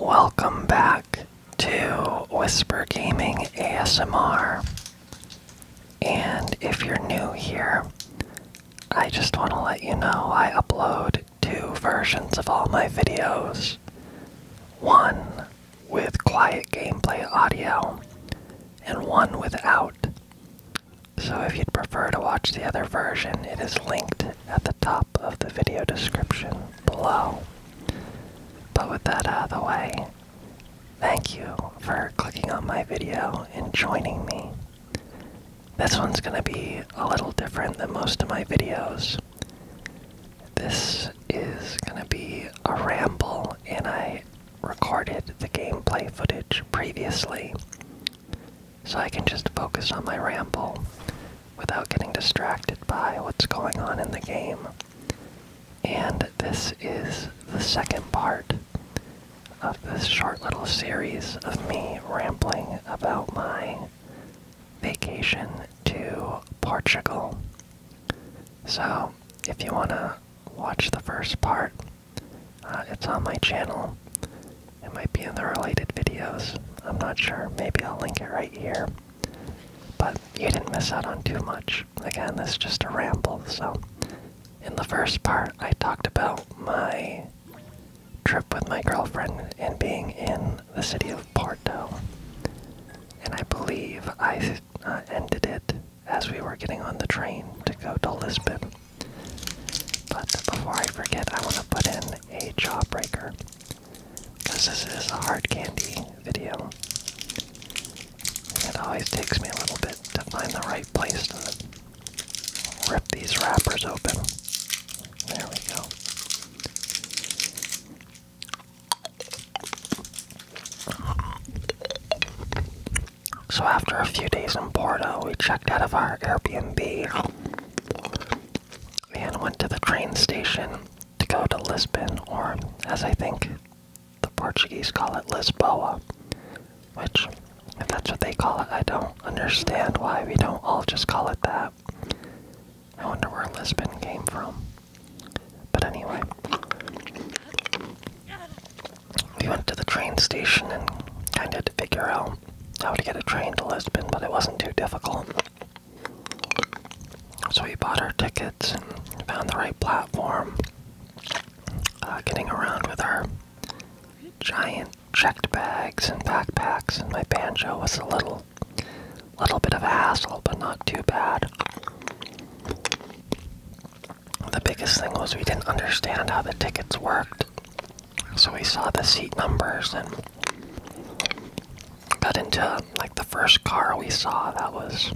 Welcome back to Whisper Gaming ASMR. And if you're new here, I just want to let you know I upload two versions of all my videos. One with quiet gameplay audio, and one without. So if you'd prefer to watch the other version, it is linked at the top of the video description below. But with that out of the way, thank you for clicking on my video and joining me. This one's going to be a little different than most of my videos. This is going to be a ramble, and I recorded the gameplay footage previously so I can just focus on my ramble without getting distracted by what's going on in the game. And this is the second part of this short little series of me rambling about my vacation to Portugal. So, if you want to watch the first part, uh, it's on my channel. It might be in the related videos. I'm not sure. Maybe I'll link it right here. But you didn't miss out on too much. Again, this is just a ramble. So, in the first part, I talked about my trip with my girlfriend and being in the city of Porto. And I believe I uh, ended it as we were getting on the train to go to Lisbon. But before I forget, I want to put in a jawbreaker. Because this is a hard candy video. It always takes me a little bit to find the right place to rip these wrappers open. There we go. So after a few days in Porto, we checked out of our Airbnb and went to the train station to go to Lisbon, or as I think the Portuguese call it Lisboa, which, if that's what they call it, I don't understand why we don't all just call it that. I wonder where Lisbon came from. But anyway, we went to the train station and kind of had to figure out how to get a train to Lisbon, but it wasn't too difficult. So we bought our tickets and found the right platform. Uh, getting around with our giant checked bags and backpacks, and my banjo was a little, little bit of a hassle, but not too bad. The biggest thing was we didn't understand how the tickets worked, so we saw the seat numbers and Got into like the first car we saw that was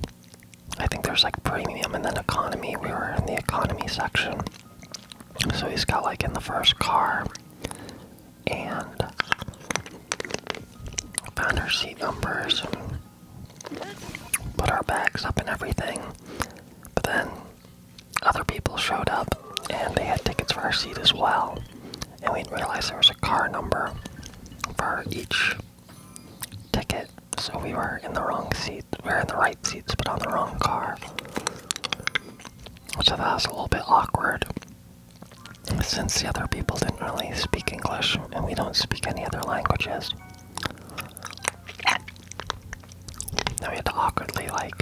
I think there's like premium and then economy. We were in the economy section. So he's got like in the first car and found our seat numbers and put our bags up and everything. But then other people showed up and they had tickets for our seat as well and we didn't realize there was a car number for each ticket, so we were in the wrong seat. We were in the right seats, but on the wrong car. So that was a little bit awkward, since the other people didn't really speak English, and we don't speak any other languages. Now we had to awkwardly, like,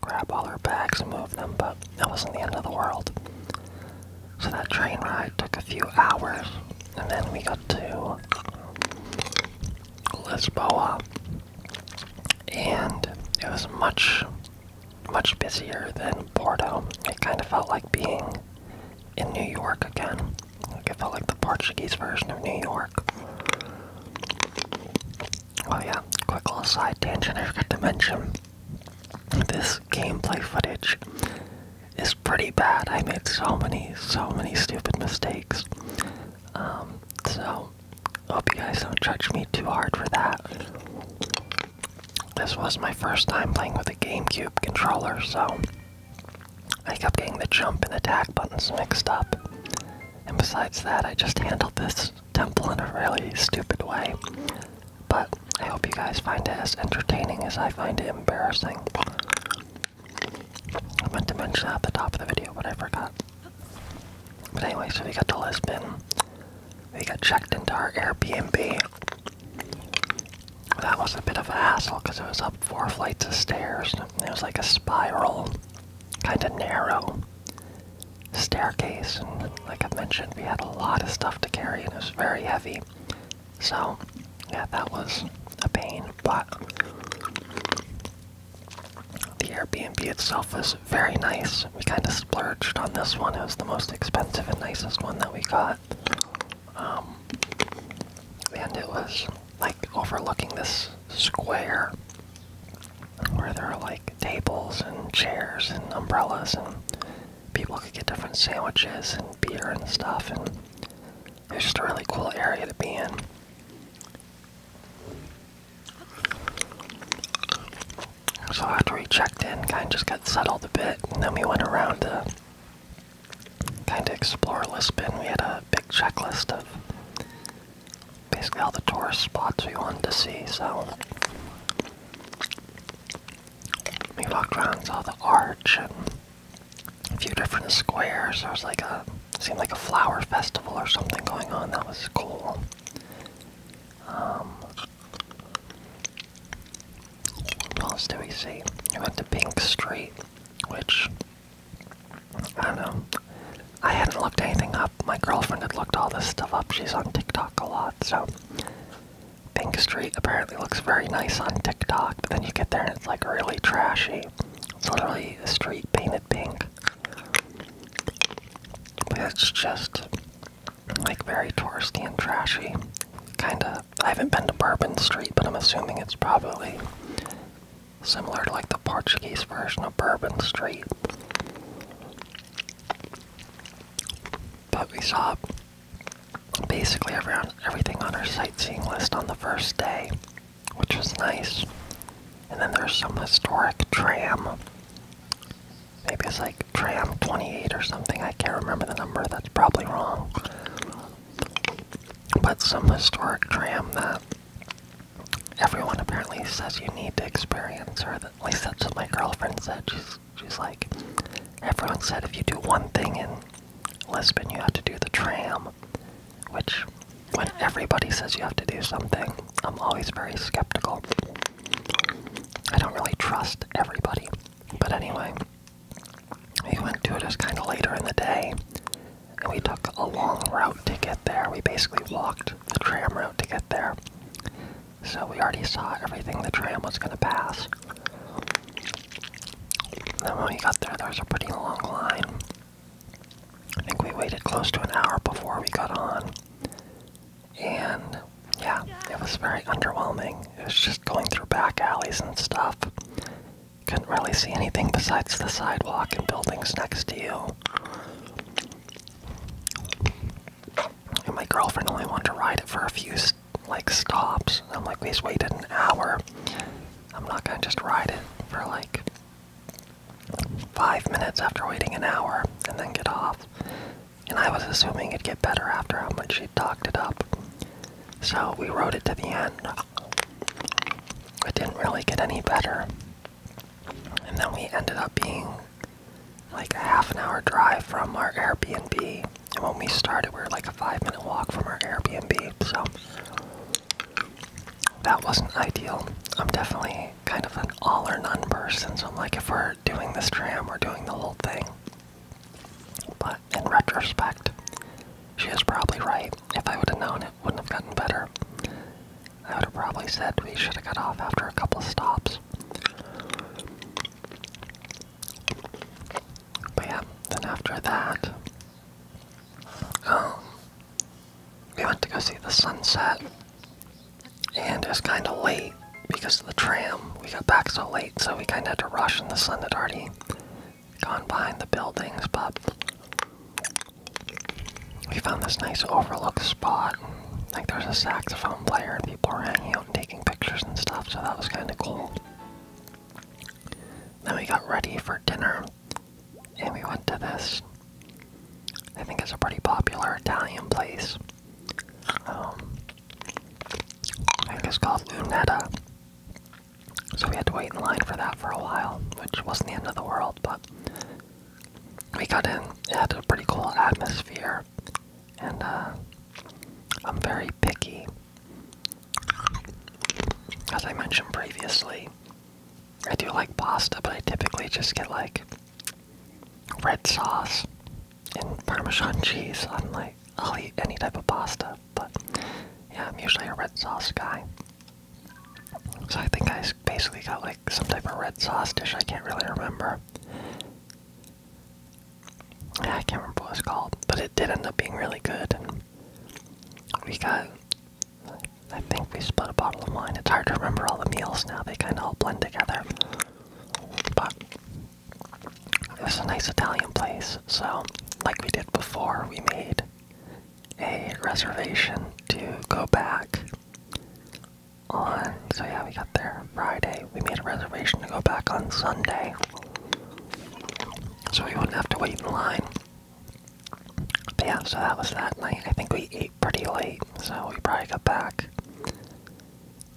grab all our bags and move them, but that wasn't the end of the world. So that train ride took a few hours, and then we got to Lisboa, and it was much, much busier than Porto. It kind of felt like being in New York again. Like it felt like the Portuguese version of New York. Oh yeah, quick little side tangent I forgot to mention. This gameplay footage is pretty bad. I made so many, so many stupid mistakes. Um, so, hope you guys don't judge me too hard for that. This was my first time playing with a GameCube controller, so I kept getting the jump and attack buttons mixed up. And besides that, I just handled this temple in a really stupid way. But I hope you guys find it as entertaining as I find it embarrassing. I meant to mention that at the top of the video, but I forgot. But anyway, so we got to Lisbon. We got checked into our Airbnb. That was a bit of a hassle because it was up four flights of stairs. It was like a spiral, kind of narrow staircase. And like I mentioned, we had a lot of stuff to carry, and it was very heavy. So, yeah, that was a pain, but the Airbnb itself was very nice. We kind of splurged on this one. It was the most expensive and nicest one that we got. Um, and it was like overlooking this square where there are like tables and chairs and umbrellas and people could get different sandwiches and beer and stuff and it's just a really cool area to be in. So after we checked in, kind of just got settled a bit, and then we went around to kind of explore Lisbon. We had a big checklist of basically all the tourist spots we wanted to see, so we walked around saw the arch and a few different squares. There was like a seemed like a flower festival or something going on. That was cool. Um, what else did we see? We went to Pink Street, which I don't know. I hadn't looked anything up. My girlfriend had looked all this stuff up. She's on TikTok a lot, so Pink Street apparently looks very nice on TikTok, but then you get there and it's like really trashy. It's literally a street painted pink. But it's just like very touristy and trashy. Kinda. I haven't been to Bourbon Street, but I'm assuming it's probably similar to like the Portuguese version of Bourbon Street. But we saw basically around everything on our sightseeing list on the first day, which was nice. And then there's some historic tram. Maybe it's like tram 28 or something. I can't remember the number. That's probably wrong. But some historic tram that everyone apparently says you need to experience, or at least that's what my girlfriend said. She's she's like, everyone said if you do one thing in Lisbon, you have to do the tram, which when everybody says you have to do something, I'm always very skeptical. I don't really trust everybody. But anyway, we went to it, it was kind of later in the day, and we took a long route to get there. We basically walked the tram route to get there. So we already saw everything the tram was going to pass. Then when we got there, there was a pretty long line. I think we waited close to an hour before we got on. And yeah, it was very underwhelming. It was just going through back alleys and stuff. Couldn't really see anything besides the sidewalk and buildings next to you and my girlfriend only wanted to ride it for a few like stops. I'm like, we waited an hour. I'm not gonna just ride it for like five minutes after waiting an hour and then get off. And I was assuming it'd get better after how much she talked it up. So we rode it to the end. It didn't really get any better. And then we ended up being like a half an hour drive from our Airbnb. And when we started, we were like a five minute walk from our Airbnb. So that wasn't ideal. I'm definitely kind of an all or none person. So I'm like, if we're doing this tram, we're doing the whole thing. But in retrospect, she is probably right. If I would have known, it wouldn't have gotten better. I would have probably said we should have cut off after a couple of stops. But yeah, then after that, um, we went to go see the sunset, and it was kind of late because of the tram. We got back so late, so we kind of had to rush, and the sun had already gone behind the buildings, but we found this nice overlooked spot. Like there's a saxophone player and people are hanging out and taking pictures and stuff, so that was kind of cool. Then we got ready for dinner and we went to this. I think it's a pretty popular Italian place. Um, I think it's called Lunetta. So we had to wait in line for that for a while, which wasn't the end of the world, but we got in. It had a pretty cool atmosphere, and uh, I'm very picky, as I mentioned previously. I do like pasta, but I typically just get like red sauce and Parmesan cheese. I'm like, I'll eat any type of pasta, but yeah, I'm usually a red sauce guy. So I think I basically got like some type of red sauce dish. I can't really remember. I can't remember what it's called, but it did end up being really good. we got, I think we split a bottle of wine. It's hard to remember all the meals now, they kind of all blend together. But it was a nice Italian place, so like we did before, we made a reservation to go back on. So yeah, we got there Friday. We made a reservation to go back on Sunday, so we wouldn't have to wait in line. yeah, so that was that night. I think we ate pretty late, so we probably got back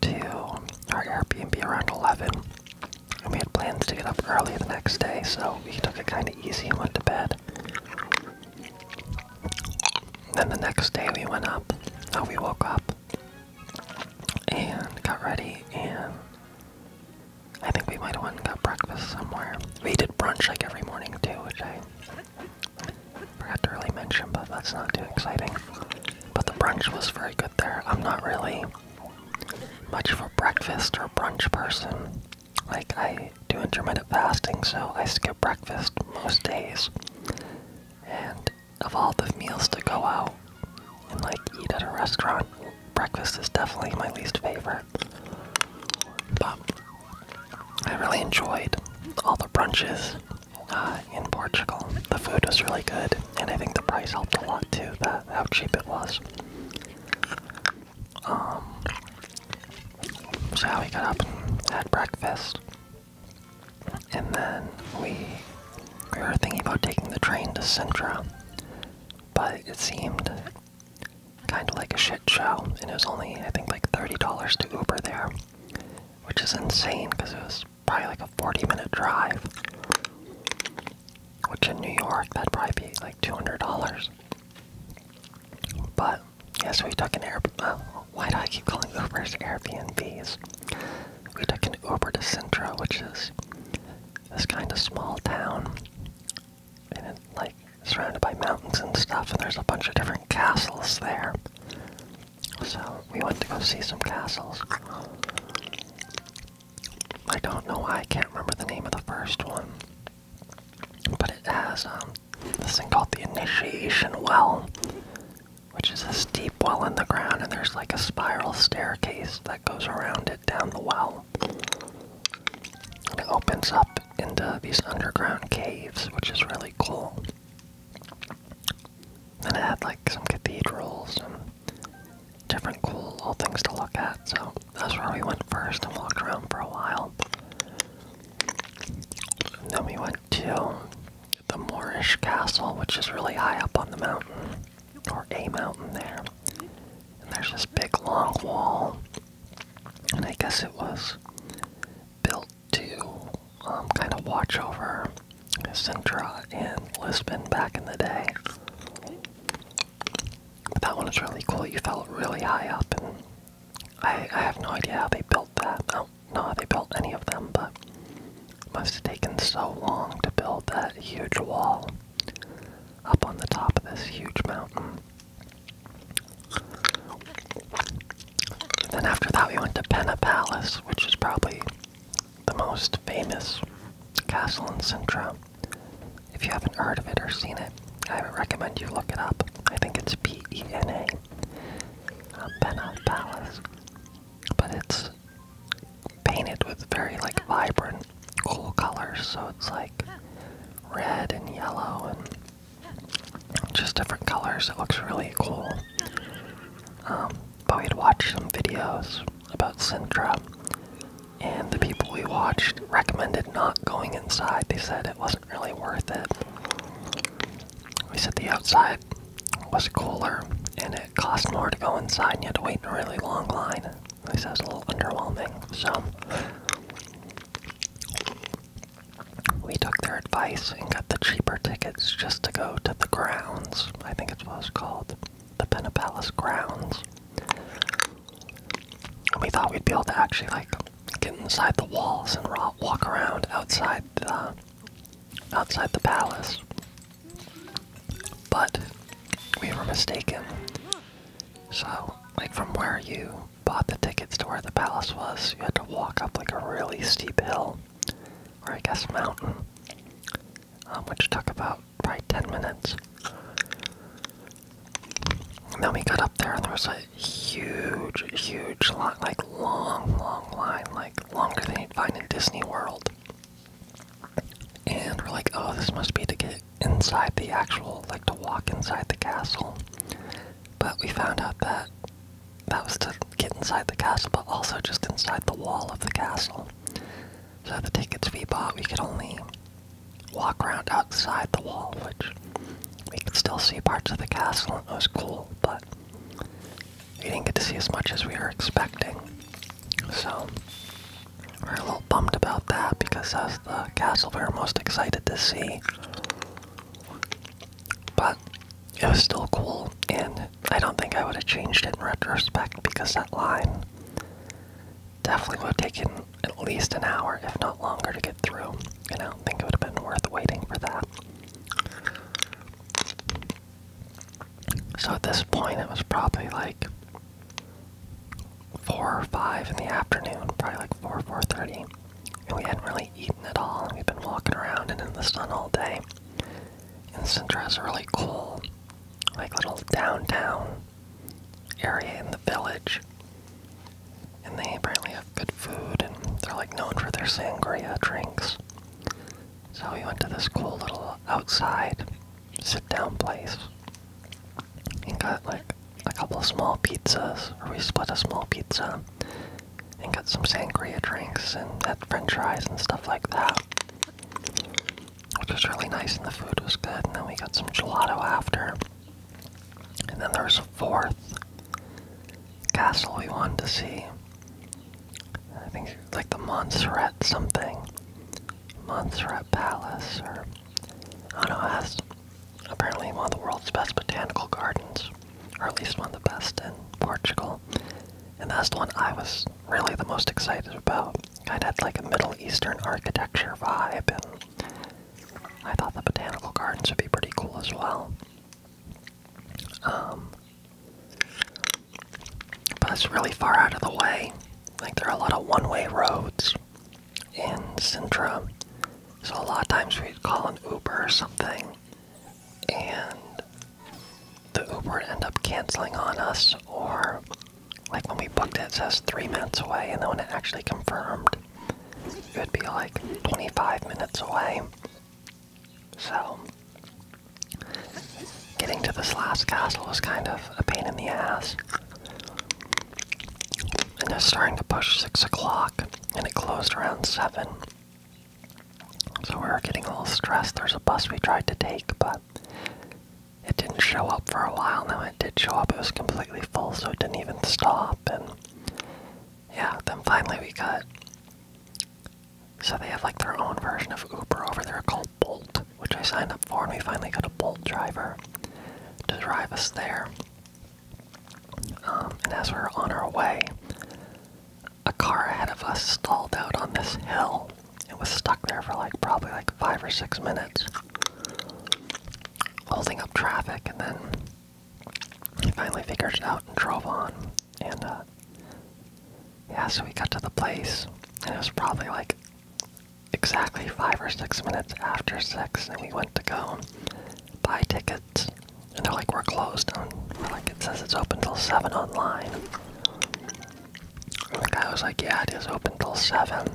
to our Airbnb around 11. And we had plans to get up early the next day, so we took it kind of easy and went to bed. Then the next day we went up, uh, we woke up and got ready, and I think we might have went and got breakfast somewhere. We did brunch like every morning too, which I forgot to really mention, but that's not too exciting. But the brunch was very good there. I'm not really much of a breakfast or brunch person. Like, I do intermittent fasting, so I skip breakfast most days. And of all the meals to go out and like eat at a restaurant, breakfast is definitely my least favorite. But I really enjoyed all the brunches uh, in Portugal. The food was really good, and I think the price helped a lot too, that how cheap it was. Um, so we got up and had breakfast. And then we were thinking about taking the train to Sintra, but it seemed kind of like a shit show, and it was only I think like thirty dollars to Uber there, which is insane because it was probably like a forty-minute drive, which in New York that'd probably be like two hundred dollars. But Yes, we took an Air. Uh, why do I keep calling Ubers Airbnbs? We took an Uber to Sintra, which is this kind of small town, and it's like surrounded by mountains and stuff. And there's a bunch of different castles there. So we went to go see some castles. I don't know why I can't remember the name of the first one, but it has um, this thing called the Initiation Well, which is a deep well in the ground, and there's like a spiral staircase that goes around it down the well. it opens up into these underground caves, which is really cool. And it had like some cathedrals and different cool little things to look at, so that's where we went first and walked around for a while. And then we went to the Moorish castle, which is really high up on the mountain, or a mountain there. And there's this big long wall, and I guess it was built to um, kind of watch over Sintra and Lisbon back in the day. But that one is really cool. You felt really high up, and I, have no idea how they built that. No, they built any of them, but it must have taken so long to build that huge wall up on the top of this huge mountain. then after that, we went to Penna Palace, which is probably the most famous castle in Sintra. If you haven't heard of it or seen it, I would recommend you look it up. I think it's P E N A uh, Penna Palace, but it's painted with very like vibrant, cool colors. So it's like red and yellow and just different colors. It looks really cool. Um, but we had watched some videos about Sintra, and the people we watched recommended not going inside. They said it wasn't really worth it. We said the outside was cooler and it cost more to go inside and you had to wait in a really long line. At least that was a little underwhelming. So we took their advice and got the cheaper tickets just to go to the grounds. I think it's what it's called. The Penna Palace grounds. And we thought we'd be able to actually like get inside the walls and walk around outside the uh, outside the palace. But we were mistaken. So, like from where you bought the tickets to where the palace was, you had to walk up like a really steep hill, or I guess mountain, um, which took about probably 10 minutes. And then we got up there and there was a huge, huge, like long, long line, like longer than you'd find in Disney World. And we're like, oh, this must be to get inside the actual, like to walk inside the castle. But we found out that that was to get inside the castle, but also just inside the wall of the castle. So the tickets we bought, we could only walk around outside the wall, which we could still see parts of the castle, and it was cool, but we didn't get to see as much as we were expecting. So, we're a little bummed about that because that's the castle we were most excited to see. But it was still cool, and I don't think I would have changed it in retrospect because that line definitely would have taken at least an hour, if not longer, to get through. And I don't think it would have been worth waiting for that. So at this point, it was probably like four or five in the afternoon, probably like four, four thirty, and we hadn't really eaten at all. And we've been walking around and in the sun all day. And Sintra has a really cool, like little downtown area in the village, and they apparently have good food, and they're like known for their sangria drinks. So we went to this cool little outside sit down place and got like a couple of small pizzas, or we split a small pizza and got some sangria drinks and french fries and stuff like that. Which was really nice and the food was good, and then we got some gelato after. And then there was a fourth castle we wanted to see. I think it's like the Montserrat something, Montserrat Palace, or I don't know. It apparently one of the world's best botanical gardens, or at least one of the best in Portugal. And that's the one I was really the most excited about. It had like a Middle Eastern architecture vibe, and I thought the botanical gardens would be pretty cool as well. Um, but it's really far out of the way. Like, there are a lot of one way roads in Sintra. So, a lot of times we'd call an Uber or something, and the Uber would end up canceling on us, or like when we booked it, it says three minutes away, and then when it actually confirmed, it would be like 25 minutes away. So, getting to this last castle was kind of a pain in the ass. And it's starting to push 6 o'clock, and it closed around 7. So we are getting a little stressed. There's a bus we tried to take, but it didn't show up for a while. Now it did show up. It was completely full, so it didn't even stop. And yeah, then finally we got. So they have like their own version of Uber over there called Bolt, which I signed up for, and we finally got a Bolt driver to drive us there. Um, and as we are on our way, a car ahead of us stalled out on this hill. It was stuck there for like probably like five or six minutes, holding up traffic, and then he finally figured it out and drove on. And uh, yeah, so we got to the place, and it was probably like exactly five or six minutes after six, and we went to go buy tickets, and they're like, we're closed, and we're like, it says it's open till seven online. And the guy was like, yeah, it is open till seven,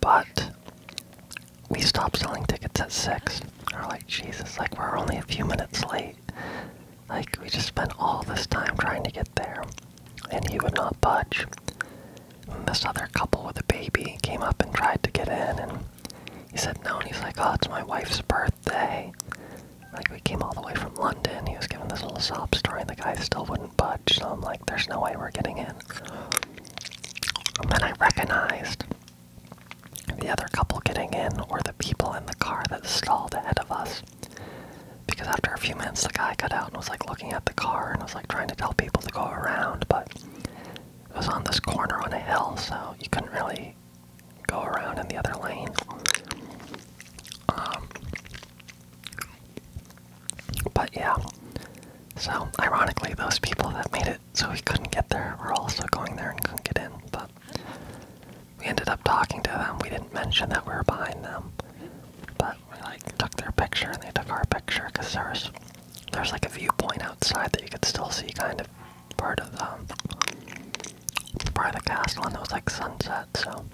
but we stopped selling tickets at six. And we're like, Jesus, like we're only a few minutes late right? Like, we just spent all this time trying to get there, and he would not budge. And this other couple with a baby came up and tried to get in, and he said no, and he's like, oh, it's my wife's birthday. Like, we came all the way from London, he was giving this little sob story, and the guy still wouldn't budge, so I'm like, there's no way we're getting in. And then I recognized the other couple getting in or the people in the car that stalled ahead of us. Because after a few minutes, the guy got out and was like looking at the car and was like trying to tell people to go around, but it was on this corner on a hill, so you couldn't really go around in the other lane. Um, but yeah, so ironically, those people that made it so we couldn't get there were also going there and couldn't get in, but we ended up talking to them. We didn't mention that we were behind them, but we like took their picture and they took our picture because there's there's like a viewpoint outside that you could still see kind of part of um, the part of the castle and it was like sunset. So,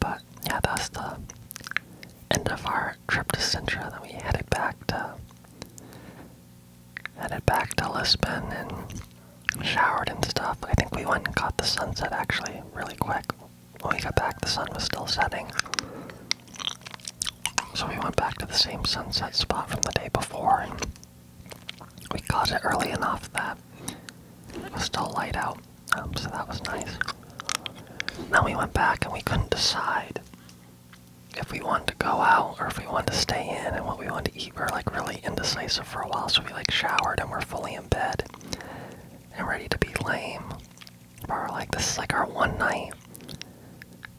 but yeah, that's the end of our trip to Sintra. Then we headed back to headed back to Lisbon and showered and stuff. I think we went and caught the sunset actually really quick. When we got back, the sun was still setting. So we went back to the same sunset spot from the day before and we caught it early enough that it was still light out. Um, so that was nice. Then we went back and we couldn't decide if we wanted to go out or if we wanted to stay in and what we wanted to eat, we are like really indecisive for a while. So we like showered and we're fully in bed and ready to be lame. But we're like, this is like our one night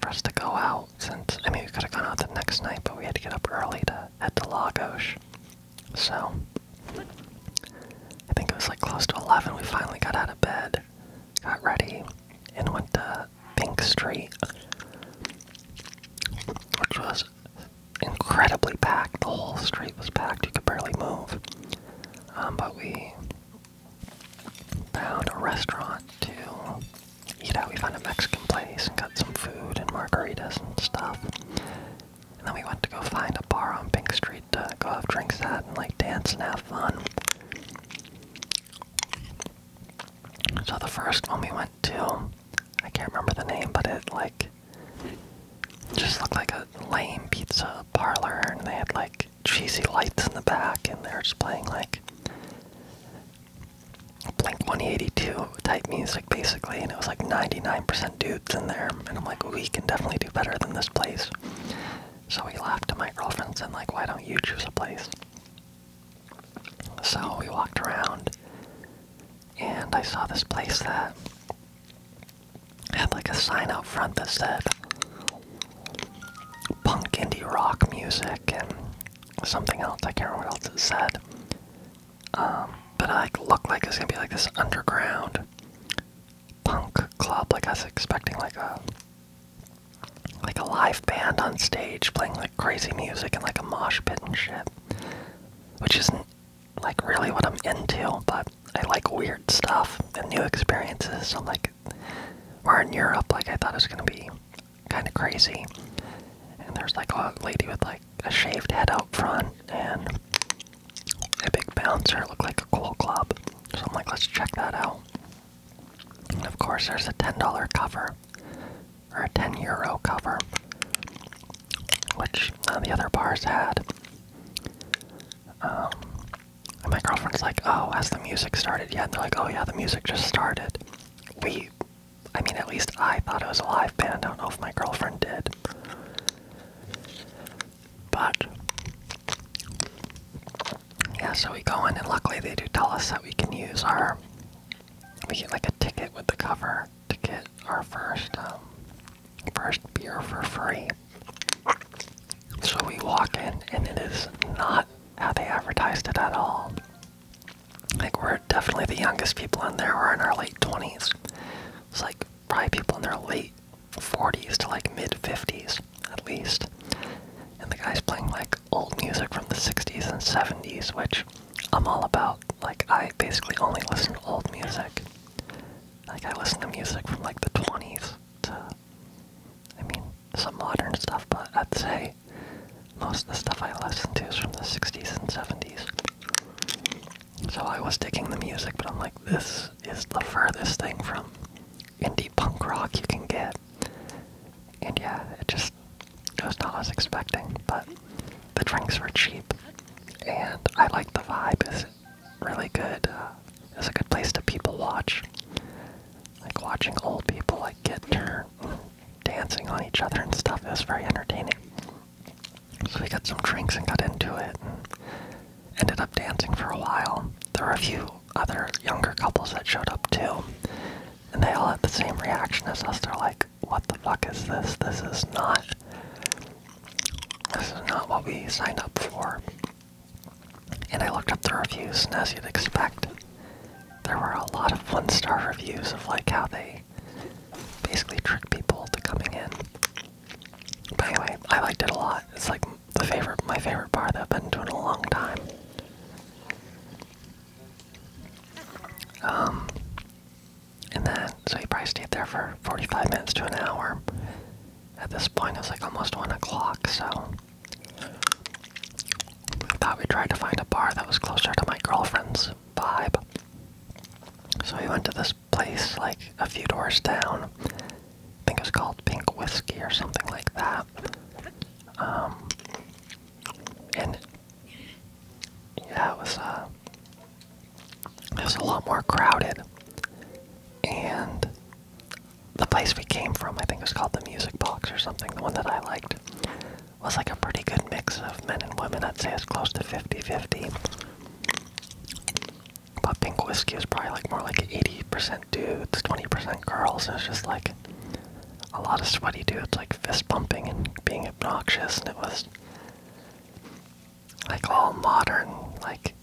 for us to go out. Since I mean, we could have gone out the next night, but we had to get up early to head to Lagos. So I think it was like close to eleven. We finally got out of bed, got ready, and went to Pink Street, which was incredibly packed. The whole street was packed. You could barely move. Um, but we found a restaurant to eat at. We found a Mexican place and got some food and margaritas and stuff. And then we went to go find a bar on Pink Street to go have drinks at and like dance and have fun. So the first one we went to, I can't remember the name, but it like just looked like a lame pizza parlor, and they had like cheesy lights in the back, and they were just playing like Blink 182 type music basically, and it was like 99% dudes in there, and I'm like, we can definitely do better than this place. So we laughed at my girlfriend, and like, why don't you choose a place? So we walked around, and I saw this place that had like a sign out front that said punk indie rock music and something else. I can't remember what else it said. Um, but it looked like it was gonna be like this underground punk club. Like I was expecting like a like a live band on stage playing like crazy music and like a mosh pit and shit. Which isn't like really what I'm into, but I like weird stuff and new experiences. So like, we're in Europe, like I thought it was gonna be kind of crazy. And there's like a lady with like a shaved head out front and a big bouncer, look like a cool club. So I'm like, let's check that out. And of course, there's a $10 cover or a 10 euro cover, which none of the other bars had. Um, my girlfriend's like, "Oh, has the music started yet?" And they're like, "Oh yeah, the music just started." We, I mean, at least I thought it was a live band. I don't know if my girlfriend did, but yeah. So we go in, and luckily they do tell us that we can use our we get like a ticket with the cover to get our first um, first beer for free. So we walk in, and it is not how they advertised it at all. Like we're definitely the youngest people in there. We're in our late twenties. It's like probably people in their late forties to like mid fifties at least. And the guy's playing like old music from the 60s and 70s, which I'm all about. Like, I basically only listen to old music. Like, I listen to music from like the 20s to, I mean, some modern stuff, but I'd say most of the stuff I listen to is from the 60s and 70s. So I was digging the music, but I'm like, this is the furthest thing from indie punk rock you can get. And yeah, it just was not what I was expecting, but the drinks were cheap, and I liked the vibe. It was really good. Uh, it was a good place to people watch, like watching old people like get turned, dancing on each other and stuff. It was very entertaining. So we got some drinks and got into it, and ended up dancing for a while. There were a few other younger couples that showed up too and they all had the same reaction as us. They're like, "What the fuck is this? This is not. This is not what we signed up for." And I looked up the reviews, and as you'd expect, there were a lot of one-star reviews of like how they basically tricked people to coming in. But anyway, I liked it a lot. It's like the favorite, my favorite bar that I've been to in a long time. Um, and then, so he probably stayed there for 45 minutes to an hour. At this point, it's like almost 1 o'clock, so I thought we would try to find a bar that was closer to my girlfriend's vibe. So we went to this place like a few doors down. I think it was called Pink Whiskey or something like that. Um, and yeah, it was uh, it was a lot more crowded, and the place we came from, I think it was called the Music Box or something. The one that I liked was like a pretty good mix of men and women. I'd say it's close to 50-50. But Pink Whiskey was probably like more like 80% dudes, 20% girls. It was just like a lot of sweaty dudes like fist pumping and being obnoxious, and it was like all modern, like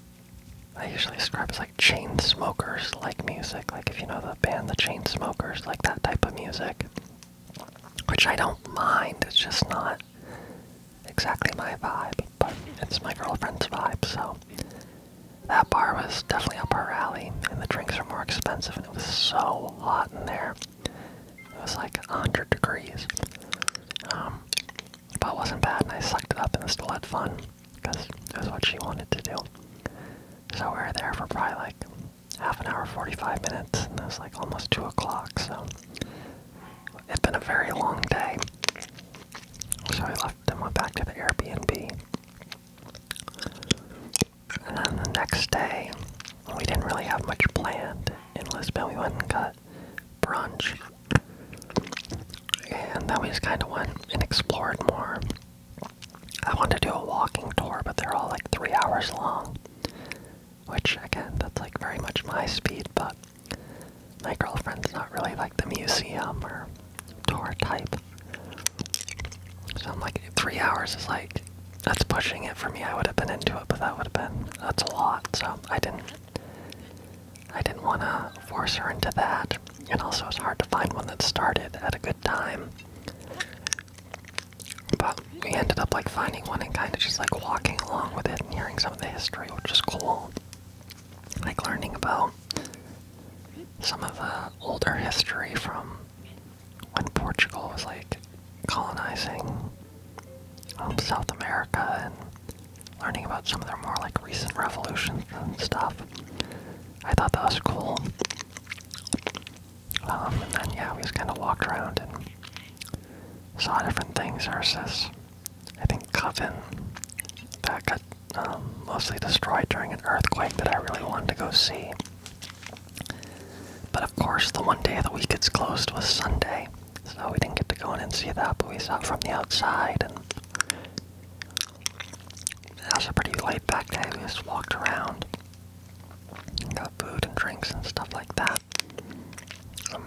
I usually describe as like chain smokers like music, like if you know the band the chain smokers, like that type of music. Which I don't mind, it's just not exactly my vibe, but it's my girlfriend's vibe, so that bar was definitely up her alley, and the drinks were more expensive, and it was so hot in there. It was like 100 degrees. Um, but it wasn't bad, and I sucked it up and still had fun because it was what she wanted to do. So we were there for probably like half an hour, 45 minutes, and it was like almost 2 o'clock, so it's been a very long day. So I left and went back to the Airbnb. And then the next day, we didn't really have much planned in Lisbon. We went and got brunch. And then we just kind of went and explored more. I wanted to do a walking tour, but they're all like three hours long. Which, again, that's like very much my speed, but my girlfriend's not really like the museum or tour type. So I'm like, three hours is like, that's pushing it for me. I would have been into it, but that would have been, that's a lot. So I didn't, I didn't want to force her into that. And also it's hard to find one that started at a good time. But we ended up like finding one and kind of just like walking along with it and hearing some of the history, which is cool. Like learning about some of the older history from when Portugal was like colonizing um, South America and learning about some of their more like recent revolutions and stuff. I thought that was cool. Um, and then yeah, we just kind of walked around and saw different things. There's this, I think, coven that got um, mostly destroyed during an earthquake that I really wanted to go see. But of course, the one day of the week it's closed was Sunday, so we didn't get to go in and see that, but we saw it from the outside, and that was a pretty late back day. We just walked around, got food and drinks and stuff like that.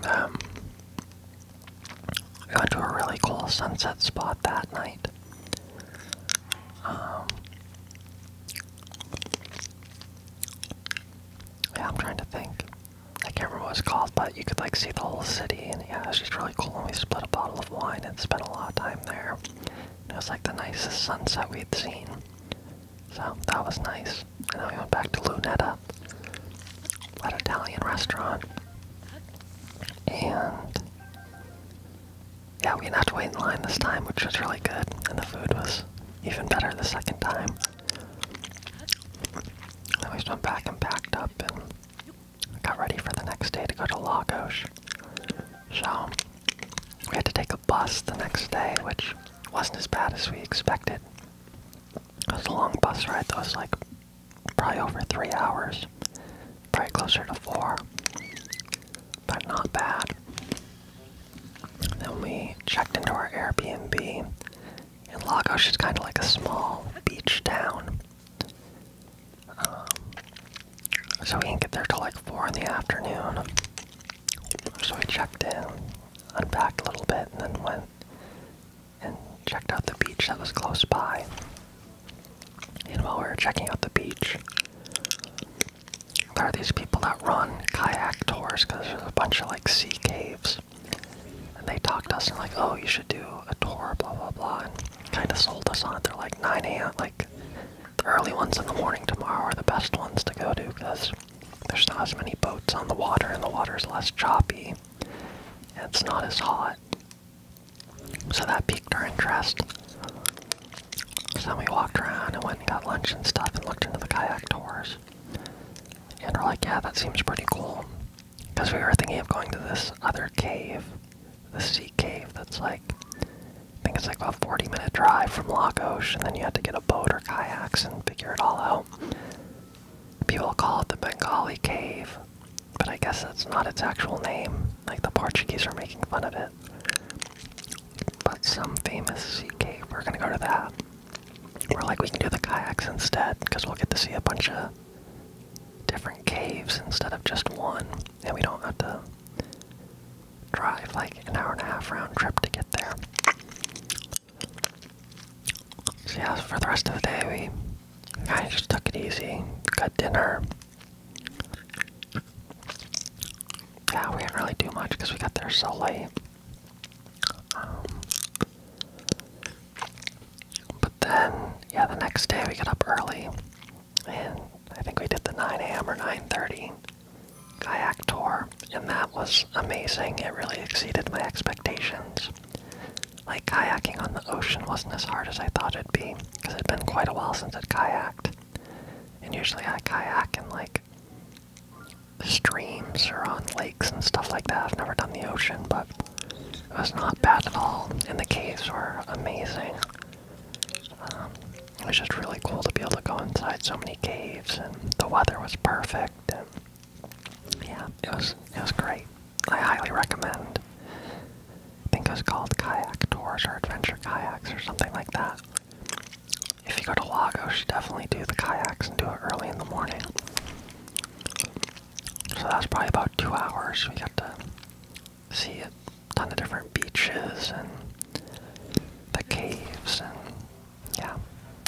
Um, we went to a really cool sunset spot that night. Um, yeah, I'm trying to think. I can't remember what it's called, but you could like see the whole city, and yeah, it was just really cool. And we split a bottle of wine and spent a lot of time there. it was like the nicest sunset we'd seen. So that was nice. And then we went back to Lunetta, that Italian restaurant, and yeah, we didn't have to wait in line this time, which was really good, and the food was even better the second time. Then we just went back and packed up and got ready for the next day to go to Lagos. So, we had to take a bus the next day, which wasn't as bad as we expected. It was a long bus ride that was like probably over three hours, probably closer to four, but not bad. Then we checked into our Airbnb. in Lagos It's kind of like a small beach town. Um, so we didn't get there till like 4 in the afternoon. So we checked in, unpacked a little bit, and then went and checked out the beach that was close by. And while we were checking out the beach, there are these people that run kayak tours because there's a bunch of like sea caves. And they talked to us and like, oh, you should do a tour, blah blah blah, and kind of sold us on it. They're like 9 a.m. Like the early ones in the morning tomorrow are the best ones to go to because there's not as many boats on the water and the water's less choppy and it's not as hot. So that piqued our interest. So we walked around and went and got lunch and stuff and looked into the kayak tours. And we're like, yeah, that seems pretty cool. Because we were thinking of going to this other cave, the sea cave that's like, I think it's like a 40 minute drive from Lagos, and then you had to get a boat or kayaks and figure it all out. People call it the Bengali cave, but I guess that's not its actual name. Like the Portuguese are making fun of it but some famous sea cave. We're gonna go to that. We're like, we can do the kayaks instead, because we'll get to see a bunch of different caves instead of just one, and we don't have to drive like an hour and a half round trip to get there. So yeah, for the rest of the day, we I just took it easy, got dinner. Yeah, we didn't really do much because we got there so late. Um, but then, yeah, the next day we got up early, and I think we did the 9 a.m. or 9:30 kayak tour, and that was amazing. It really exceeded my expectations. Like kayaking on the ocean wasn't as hard as I thought it'd be, because it'd been quite a while since I'd kayaked. And usually I kayak in like streams or on lakes and stuff like that. I've never done the ocean, but it was not bad at all. And the caves were amazing. Um, it was just really cool to be able to go inside so many caves, and the weather was perfect. And yeah, it was it was great. I highly recommend. I think it was called Kayak Tours or Adventure Kayaks or something like that. If you go to Lago, she definitely do the kayaks and do it early in the morning. So that was probably about two hours. We got to see a ton of different beaches and the caves and yeah,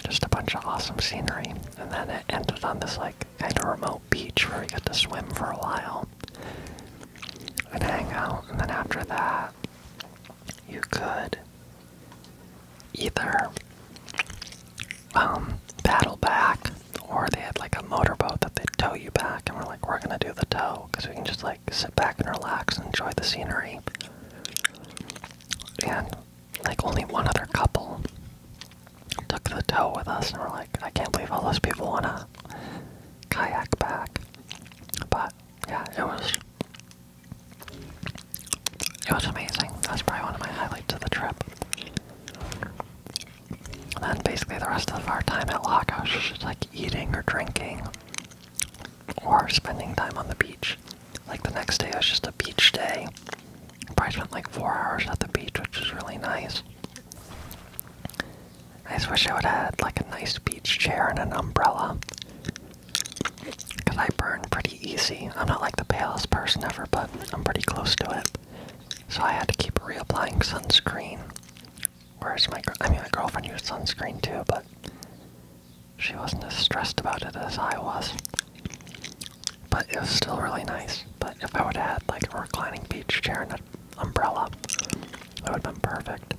just a bunch of awesome scenery. And then it ended on this like kind of remote beach where we got to swim for a while and hang out. And then after that, you could either um, paddle back, or they had like a motorboat that they'd tow you back, and we're like, we're gonna do the tow because we can just like sit back and relax and enjoy the scenery. And like only one other couple took the tow with us, and we're like, I can't believe all those people wanna kayak back. But yeah, it was it was amazing. That's probably one of my highlights of the trip. And basically the rest of our time at Lagos was just like eating or drinking or spending time on the beach. Like the next day was just a beach day. I probably spent like four hours at the beach, which was really nice. I just wish I would have had like a nice beach chair and an umbrella. Because I burn pretty easy. I'm not like the palest person ever, but I'm pretty close to it. So I had to keep reapplying sunscreen. Whereas my, I mean, my girlfriend used sunscreen too, but she wasn't as stressed about it as I was. But it was still really nice. But if I would have had like a reclining beach chair and an umbrella, it would have been perfect.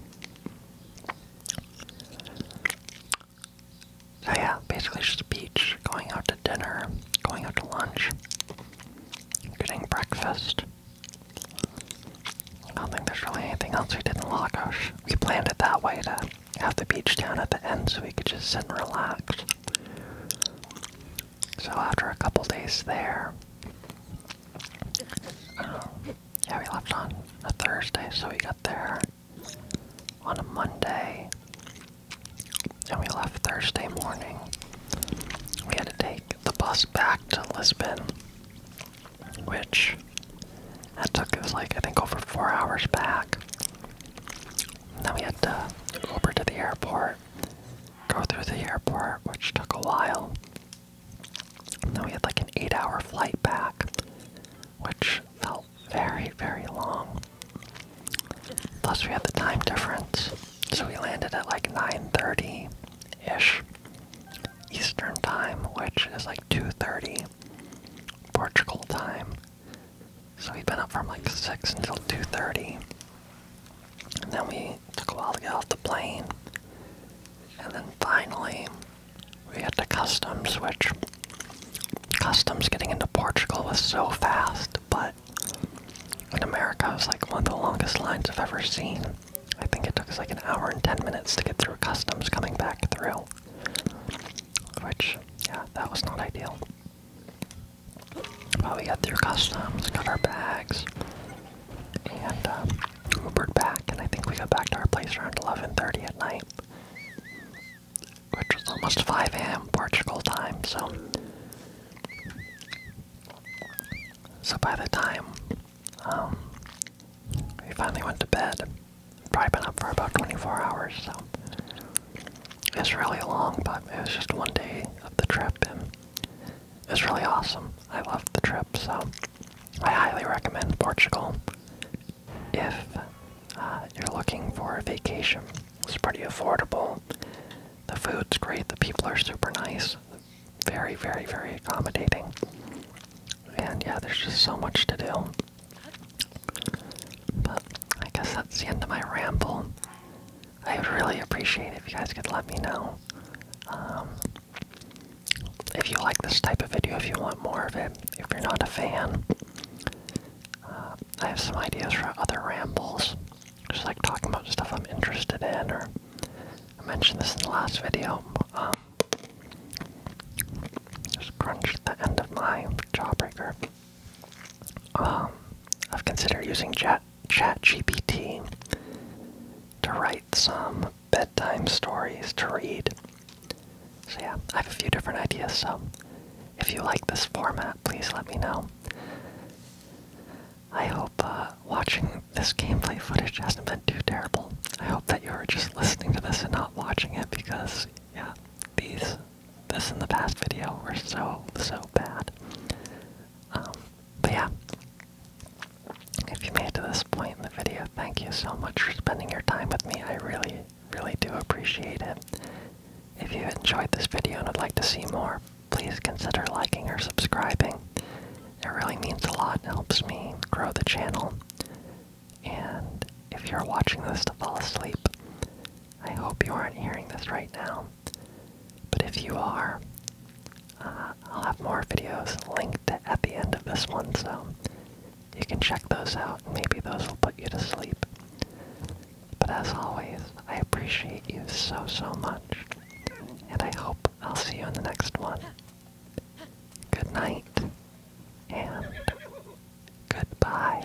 So yeah, basically just a beach, going out to dinner, going out to lunch, getting breakfast. I don't think there's really anything else we did in La Lagos. We planned it that way to have the beach down at the end so we could just sit and relax. So after a couple days there, um, yeah, we left on a Thursday, so we got there on a Monday, and we left Thursday morning. We had to take the bus back to Lisbon, which that took was like I think over four hours back. And then we had to go over to the airport, go through the airport, which took a while. And then we had like an eight hour flight back, which felt very, very long. Plus we had the time difference. So we landed at like 9:30 ish Eastern time, which is like 2:30 Portugal time. So we'd been up from like 6 until 2:30. And then we took a while to get off the plane. And then finally we had to customs, which customs getting into Portugal was so fast, but in America it was like one of the longest lines I've ever seen. I think it took us like an hour and ten minutes to get through customs coming back through. Which, yeah, that was not ideal. But we got through customs, got our bags, and um, Ubered back, and I think we got back to our place around 11:30 at night, which was almost 5 a.m. Portugal time. So, so by the time um, we finally went to bed, probably been up for about 24 hours. So, it's really long, but it was just one day of the trip, and it was really awesome. I loved the trip, so I highly recommend Portugal if uh, you're looking for a vacation. It's pretty affordable. The food's great. The people are super nice. Very, very, very accommodating. And yeah, there's just so much to do. But I guess that's the end of my ramble. I would really appreciate if you guys could let me know um, if you like this type of video, if you want more of it, if you're not a fan, uh, I have some ideas for other rambles, just like talking about stuff I'm interested in, or I mentioned this in the last video. Um, just crunched the end of my jawbreaker. Um, I've considered using Chat Chat GPT to write some bedtime stories to read. So, yeah, I have a few different ideas, so if you like this format, please let me know. I hope uh, watching this gameplay footage hasn't been too terrible. I hope that you're just listening to this and not watching it because, yeah, these, this and the past video were so, so bad. Um, but yeah, if you made it to this point in the video, thank you so much for spending your time with me. I really, really do appreciate it. If you enjoyed this video and would like to see more, please consider liking or subscribing. It really means a lot and helps me grow the channel. And if you're watching this to fall asleep, I hope you aren't hearing this right now. But if you are, uh, I'll have more videos linked at the end of this one, so you can check those out, maybe those will put you to sleep. But as always, I appreciate you so, so much, and I hope I'll see you in the next one. Good night, and goodbye.